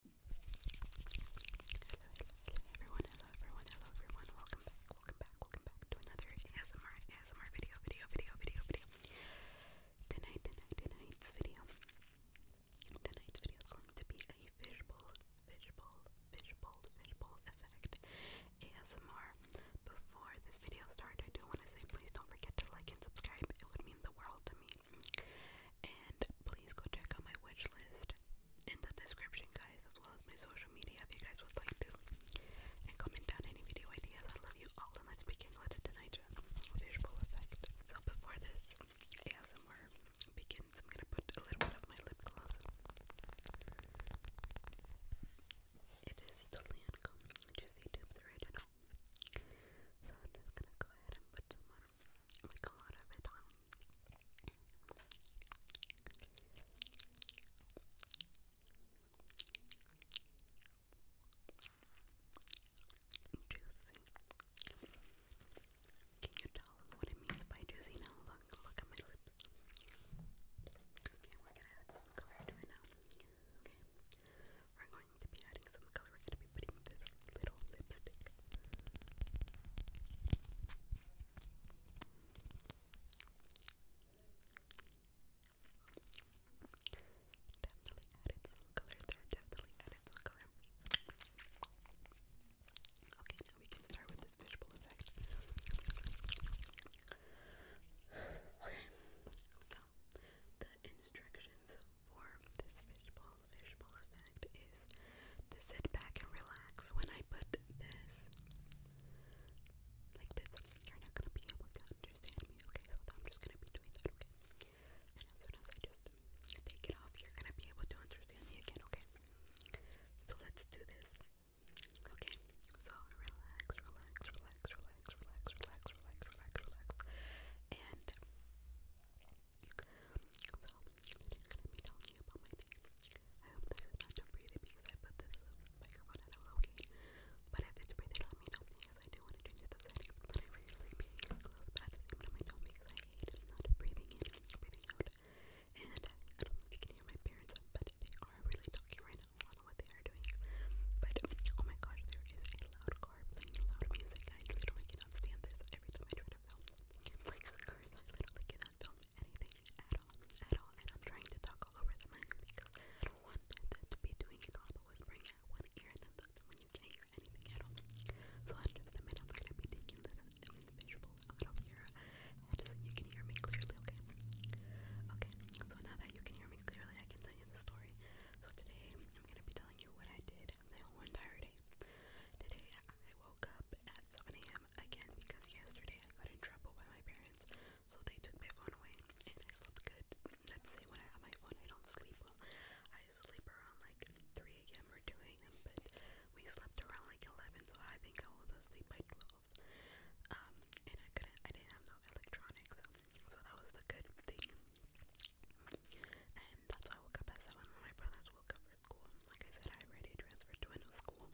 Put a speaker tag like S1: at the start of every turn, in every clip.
S1: Hello, everyone, hello everyone, hello everyone, welcome back, welcome back, welcome back to another ASMR, ASMR video, video, video, video, video. Tonight, tonight, tonight's video, tonight's video is going to be a visual, visual, visual, visual effect ASMR. Before this video starts, I do want to say please don't forget to like and subscribe, it would mean the world to me. And please go check out my wish list in the description, guys, as well as my social media if you guys would like to. And comment down any video ideas. I love you all, and let's begin with the tonight visual effect. So before this ASMR begins, I'm gonna put a little bit of my lip gloss. It is the Lancome Juicy Tubes Original. So I'm just gonna go ahead and put some on make Can you tell what it means by juicy Look, look at my lips. Okay, we're gonna add some color to now. Okay, we're going going to be adding some color. going to be putting this little lipstick. Definitely added some color Definitely added some color. Okay, now we can start with this visual effect. Okay, the instructions for this fishbowl fishbowl effect is to sit back and relax. When I put this like this, you're not gonna be able to understand me, okay? So I'm just gonna be doing that, okay? And as soon as I just take it off, you're gonna be able to understand me again, okay? So let's do this. Okay, so relax, relax, relax, relax, relax, relax, relax, relax, relax, and I'm gonna you about my day. I hope this is not too breathing because I put this microphone at a low key. But if it's breathing, let me know because I do want to change the settings. But I really like close, but at the same because I hate not breathing in, breathing out. And I don't know if you can hear my parents, but they are really talking right now. I don't know what they are doing. But oh my gosh, there is a loud car playing loud music. I literally this. Every time I try to film like cars, I literally cannot film anything at all, at all. I'm trying to talk all over the mic because I don't want to be doing it all but whispering at one ear and then when you can't hear anything at all. So I just gonna be taking this visual out of your head so you can hear me clearly, okay? Okay, so now that you can hear me clearly, I can tell you the story. So today I'm gonna be telling you what I did down whole entire day. Today I woke up at 7 a.m. again because yesterday I got in trouble by my parents, so they took my phone away and I slept good. Let's when I have my phone, I don't sleep well. I sleep around like 3 a.m. or 2 a.m., but we slept around like 11, so I think I was asleep by 12. Um, and I couldn't, I didn't have no electronics, so, so that was the good thing. And that's why I woke up at 7 when my brothers woke up for school. Like I said, I already transferred to a new school.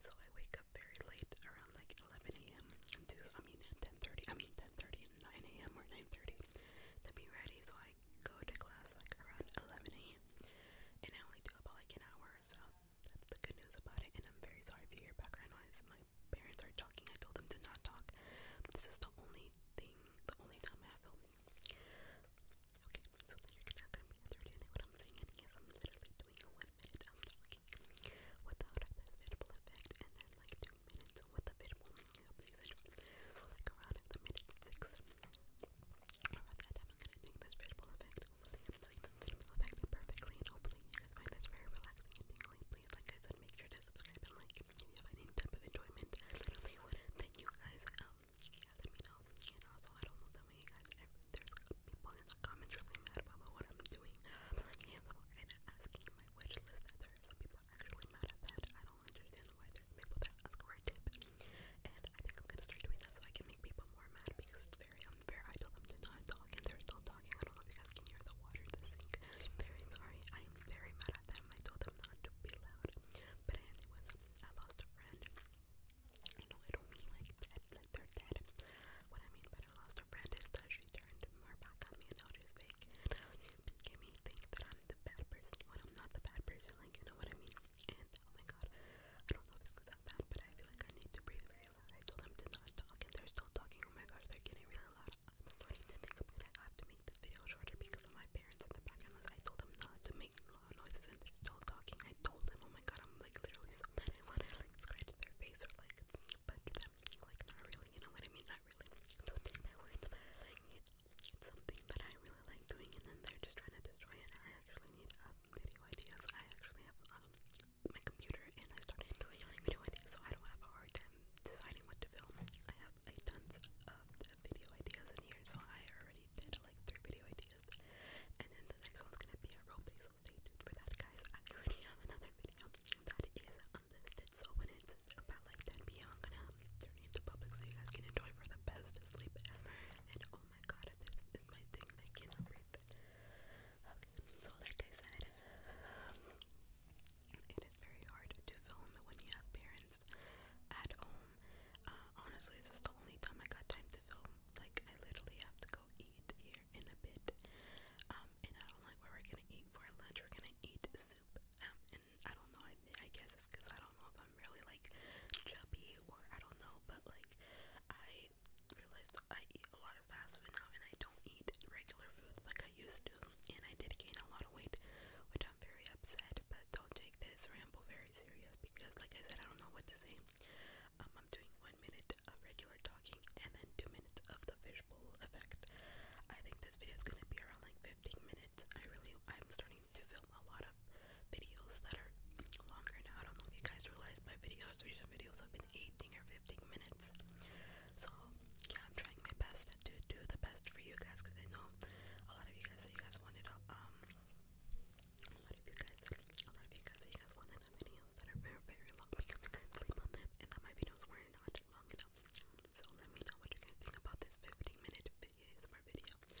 S1: So I wake up very late around like 11 a.m. to, I mean, 10.30, I mean 10.30, 9 a.m. or 9.30 to be ready. So I go to class like around 11 a.m. And I only do about like an hour, so that's the good news about it. And I'm very sorry if you hear background noise. My parents are talking. I told them to not talk. This is the only thing, the only time I have filming. Okay, so you're gonna be understanding what I'm saying. And yes, I'm literally doing a one minute of um, talking without this visual effect, and then like two minutes with the visual. Yeah, please, so like around the minute six. I'm gonna do this visual effect. Hopefully, the visual effect perfectly, and hopefully, you guys find this very relaxing and tingling like I said, make sure to subscribe and like if you have type of enjoyment. Literally, thank you guys. Um, yeah, let me know. And also, I don't know that many guys. There's people in the comments really mad about what I'm doing. and asking my wish list that some people actually mad at that. I don't understand why people that ask for a tip. And I think I'm gonna start doing that so I can make people more mad because it's very unfair. I told them to not talk and they're still talking. I don't know if you guys can hear the water the sink. am very sorry, I am very mad at them. I told them not to be loud. But anyways, I lost a friend. I I don't mean like dead, like they're dead. What I mean by I lost a friend is she turned her back on me and now she's fake. making me think that I'm the bad person when I'm not the bad person, like you know what I mean? And oh my god, I don't know if it's because I'm bad, but I feel like I need to breathe very loud. I told them to not talk and they're still talking. Oh my gosh, they're getting really loud. I'm have to make this video shorter because of my parents in the background I told them not to make loud noises and they're talking. I told them, oh my god, I'm like literally so mad. I want to like scratch their face or like punch them. Like, not really, you know what I mean? Not really. So then that word that I like it. It's something that I really like doing and then they're just trying to destroy it. I actually need um, video ideas. I actually have um, my computer and I started doing like video ideas so I don't have a hard time deciding what to film. I have a tons of video ideas in here, so I already did like three video ideas. And then the next one's gonna be a roleplay, so stay tuned for that, guys. I already have another video that is unlisted, so when it's about like 10 p.m., I'm gonna turn it into public so you guys can enjoy for the best sleep ever. And oh my god, this is my thing, I cannot breathe. Okay, so like I said, um, it is very hard to film when you have parents at home. Uh, honestly, this is the only time I got time to film. Like, I literally have to go eat here in a bit. Um, and I don't like where we're gonna eat for lunch. We're gonna eat soup. Um, and I don't know. I, I guess it's because I don't know if I'm really like chubby or I don't know. But like, I realized I eat a lot fast food now and I don't eat regular foods like I used to and I did gain a lot of weight which I'm very upset but don't take this ramble very serious because like I said I don't know what to say. Um, I'm doing one minute of regular talking and then two minutes of the fishbowl effect. I think this video is gonna be around like 15 minutes. I really I'm starting to film a lot of videos that are longer now. I don't know if you guys realize my videos, recent videos have been 18 or 15 minutes. So, yeah, I'm trying my best to do the best for you guys because I know a lot of you guys that you guys wanted um, a lot of you guys a lot of you guys you guys wanted videos that are very very long sleep on them and that my videos weren't not long So let me know what you guys think about this 15 minute video or let me know if you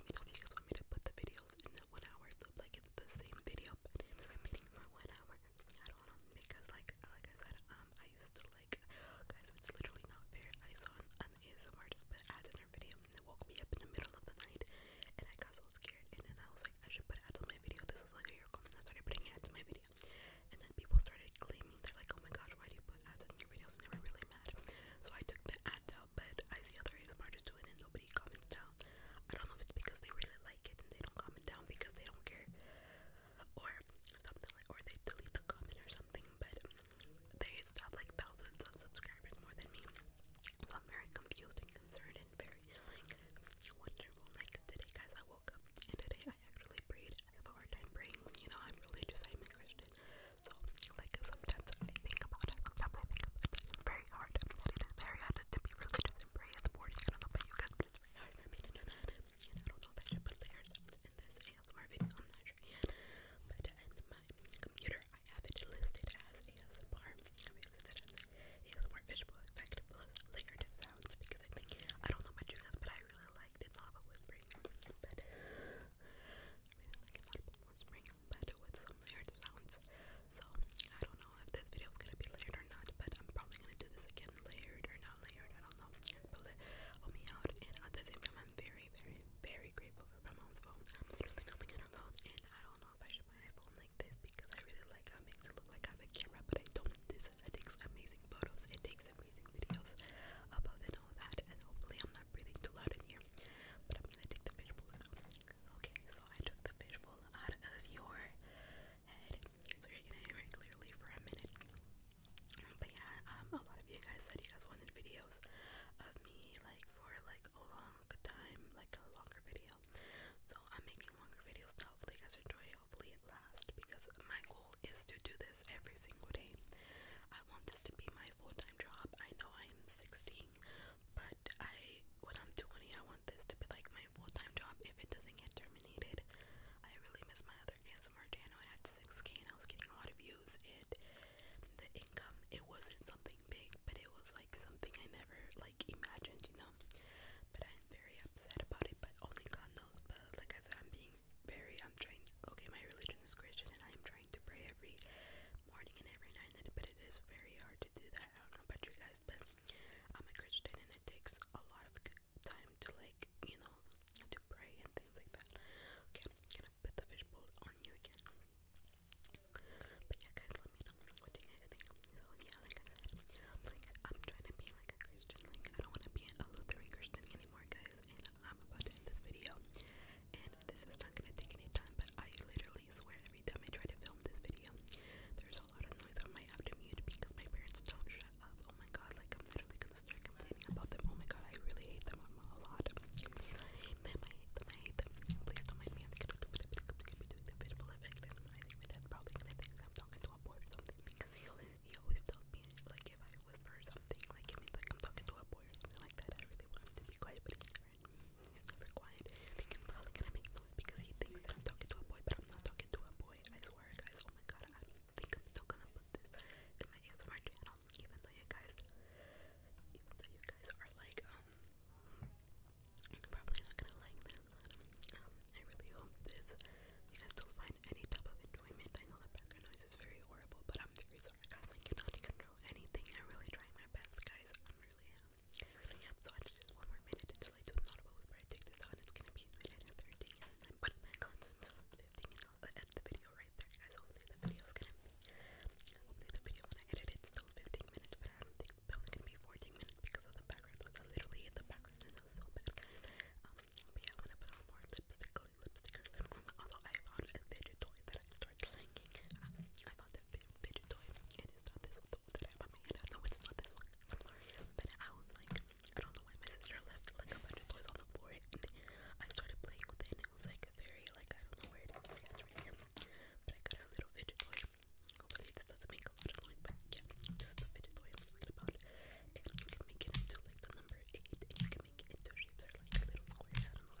S1: guys want me to put the videos in the one hour loop like it's the same video but it's repeating for one hour I don't know because like like I said, um I used to like guys it's literally not fair. I saw an, an ASMR artist put ads in her video and it woke me up in the middle of the night and I got so scared and then I was like I should put ads on my video. This was like a year ago and I started putting ads in my video. And then people started claiming they're like, Oh my gosh, why do you put ads in your videos? And they were really mad. So I took the ads out but I see other ASMR artists do it and nobody comments down. I don't know if it's because they really like like it and they don't comment down because they don't care or something like or they delete the comment or something but they have like thousands of subscribers more than me so I'm very confused and concerned and very like wonderful like today guys I woke up and today I actually prayed I have a hard time praying you know I'm religious I'm a Christian so like sometimes I think about it sometimes I think about it it's very hard and it is very hard to be religious and pray in the morning I don't know about you guys it's very hard for me to do that. I don't know if I should put layers in this ASMR video, I'm not But in my computer, I have it listed as ASMR. I have it listed as ASMR visual effect plus sounds because I think, I don't know about you guys, but I really liked it. Not about but really like it. Not about but with some layered sounds. So I don't know if this video is gonna be layered or not, but I'm probably gonna do this again layered or not layered. I don't know. But help me out. And at the same time, I'm very, very, very grateful for my mom's phone. I'm literally phone, and I don't know if I should buy a phone like this because I really like how it makes it look like I am a camera, but I don't. This it takes amazing photos. It takes amazing videos. Above and all that, and hopefully I'm not breathing too loud in here. But I'm gonna take the fishbowl Okay, so I took the fishbowl out of your so you're hear it clearly for a minute. But yeah, um, a lot of you guys said you guys wanted videos of me like for like a long time, like a longer video. So I'm making longer videos to hopefully you guys enjoy. Hopefully it lasts because my goal is to do this every single day. I want this to be my full-time job. I know I'm 16, but I when I'm 20, I want this to be like my full-time job if it doesn't get terminated. I really miss my other ASMR channel. I had 6k and I was getting a lot of views and the income it wasn't something big, but it was like something I never like imagined, you know. But I'm very upset about it, but only God knows. But like I said, I'm being very I'm trying okay, my religion is Christian and I am trying to pray every morning and every night, but it is very hard to do that. I don't know about you guys but I'm a Christian and it takes a lot of time to like, you know, to pray and things like that. Okay, i put the fishbowl on you again. But yeah, guys, let me know what you guys think. So yeah, like I said, I'm like I'm trying to be like a Christian. Like I don't want to be a Lutheran Christian anymore, guys. And I'm about to end this video. And this is not gonna take any time, but I literally literally swear every time I try to film this video, there's a lot of noise on my app to mute because my parents don't shut up. Oh my god, like I'm literally gonna start complaining about them. Oh my god, I really hate them a lot. I hate them, I hate them, I hate them. Please don't mind me. I'm gonna do it, I'm gonna do a bit of a effect. I think my dad's probably gonna think I'm talking to a boy or something because he always, he always tells me, like, if I whisper or something, like, it means like I'm talking to a boy or something like that. I really want him to be quiet, but he never He's never quiet. I think probably gonna make noise because he thinks that I'm talking to a boy, but I'm not talking to a boy. I swear, guys. Oh my god, I think I'm still gonna put this in my ASMR channel, even though you guys, even though you guys are like, um, probably not gonna like this. Um, I really hope this you guys do find any type of enjoyment. I know the background noise is very horrible, but I'm very sorry. I cannot control anything. I'm really trying my best, guys. I'm really am. Um, really am. So I just one more minute until I do not post where I take this out. It's gonna be a minute and 13 and then put 15 and i the video right there, guys. Hopefully the video's gonna hopefully the video when I still 15 minutes, but I think it's probably gonna be 14 minutes because of the background. So literally in the background and it's um, but I'm gonna put on more lipstick lipstick or lip. Although I found a fidget toy that I start ah, I found that big fidget toy, and it's not this one I have on my hand. I know it's not this one. I'm sorry. But I was like, I don't know why my sister left like a bunch of toys on the floor, I started playing with it, and it was like very, like, I don't know where it is. But I got a little fidget toy. Hopefully, this does make a lot of yeah, this is the fidget toy I'm talking And you can make it into like the number 8, you can make it into shapes or like little squares. I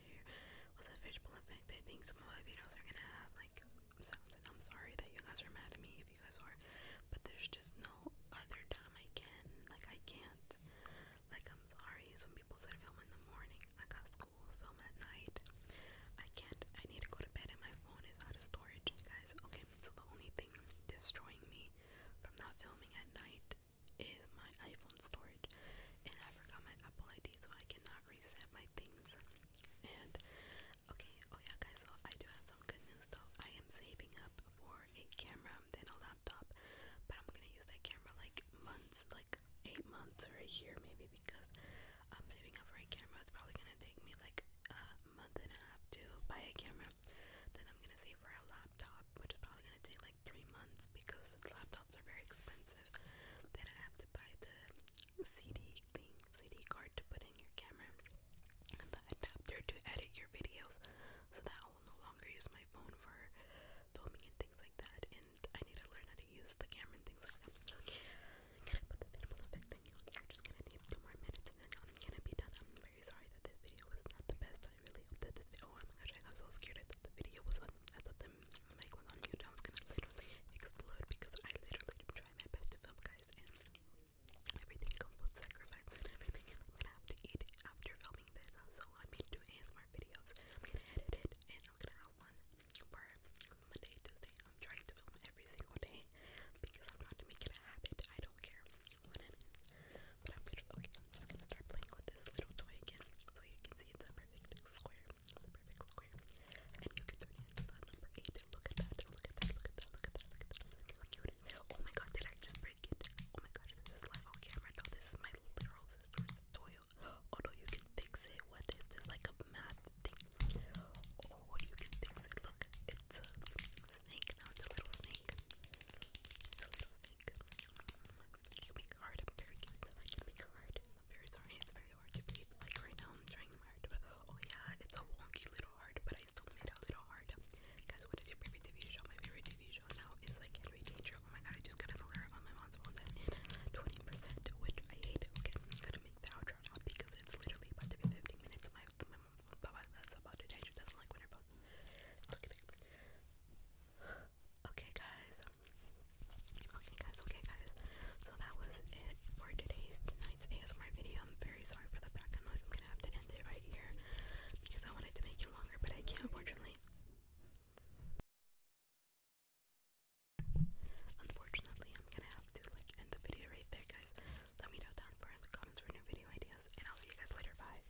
S1: with a fishbowl effect. I think some of my videos are gonna have like sounds, and I'm sorry that you guys are mad at me if you guys are, but there's just no other time I can. Like, I can't. Like, I'm sorry. Some people said film in the morning, I got school, film at night. I can't. I need to go to bed, and my phone is out of storage, guys. Okay, so the only thing destroying me from not filming at night is my iPhone storage, and I forgot my Apple ID, so I cannot reset my things. And okay, oh yeah, guys, so I do have some good news though. I am saving up for a camera, then a laptop, but I'm gonna use that camera like months, like eight months or a year maybe, because I'm saving up for a camera. It's probably gonna take me like a month and a half to buy a camera. Then I'm gonna save for a laptop, which is probably gonna take like like three months because the laptops are very expensive. Then I have to buy the CD thing, CD card to put in your camera, the adapter to edit your videos. So that I will no longer use my phone for filming and things like that. And I need to learn how to use the camera and things like that. Okay, I'm gonna thing on here. Just gonna need two more minutes, and then I'm gonna be done. I'm very sorry that this video was not the best. I really hope this oh, oh my gosh, I got so scared. I thought the video was on I thought the mic was on mute. I was gonna literally explode because I literally try my best to film, guys, and everything comes with sacrifice and everything. I'm gonna have to eat after filming this, so I made two ASMR videos. I'm gonna edit it, and I'm gonna have one for Monday, Tuesday. I'm trying to film every single day because I'm trying to make it a habit. I don't care what it is. But I'm gonna start playing with this little toy again. So you can see it's a perfect square. perfect square. And you can turn it into the Look at that, look at that, look at that, look at that, look at that, look how cute Oh my god, did I just break it? Oh my gosh, this is live on oh, camera. No, this is my literal sister's toy. Oh you can fix it. What is this? Like a math thing. Oh, you can fix it. Look, it's a snake. Now it's a little snake. It's a little snake make you hard. i very hard. i very sorry. very hard to breathe. Like right now, I'm trying hard. But, oh yeah, it's a wonky little heart, but I still made a little heart. Guys, what is your favorite TV show? My favorite TV show now is like Henry Danger. Oh my god, I just got a alert on my mom's phone twenty percent, which I hate. Okay, I'm gonna make the outro because it's literally about to be 15 minutes. Of my my mom's phone, that's about to change. It doesn't like when her Okay, guys. Okay, guys. Okay, guys. So that was it for today's tonight's ASMR video. I'm very sorry for the background noise. I'm gonna have to end it right here because I wanted to make it longer, but I can't, unfortunately. Unfortunately, I'm gonna have to like end the video right there, guys. Let me know down in the comments for new video ideas, and I'll see you guys later. Bye.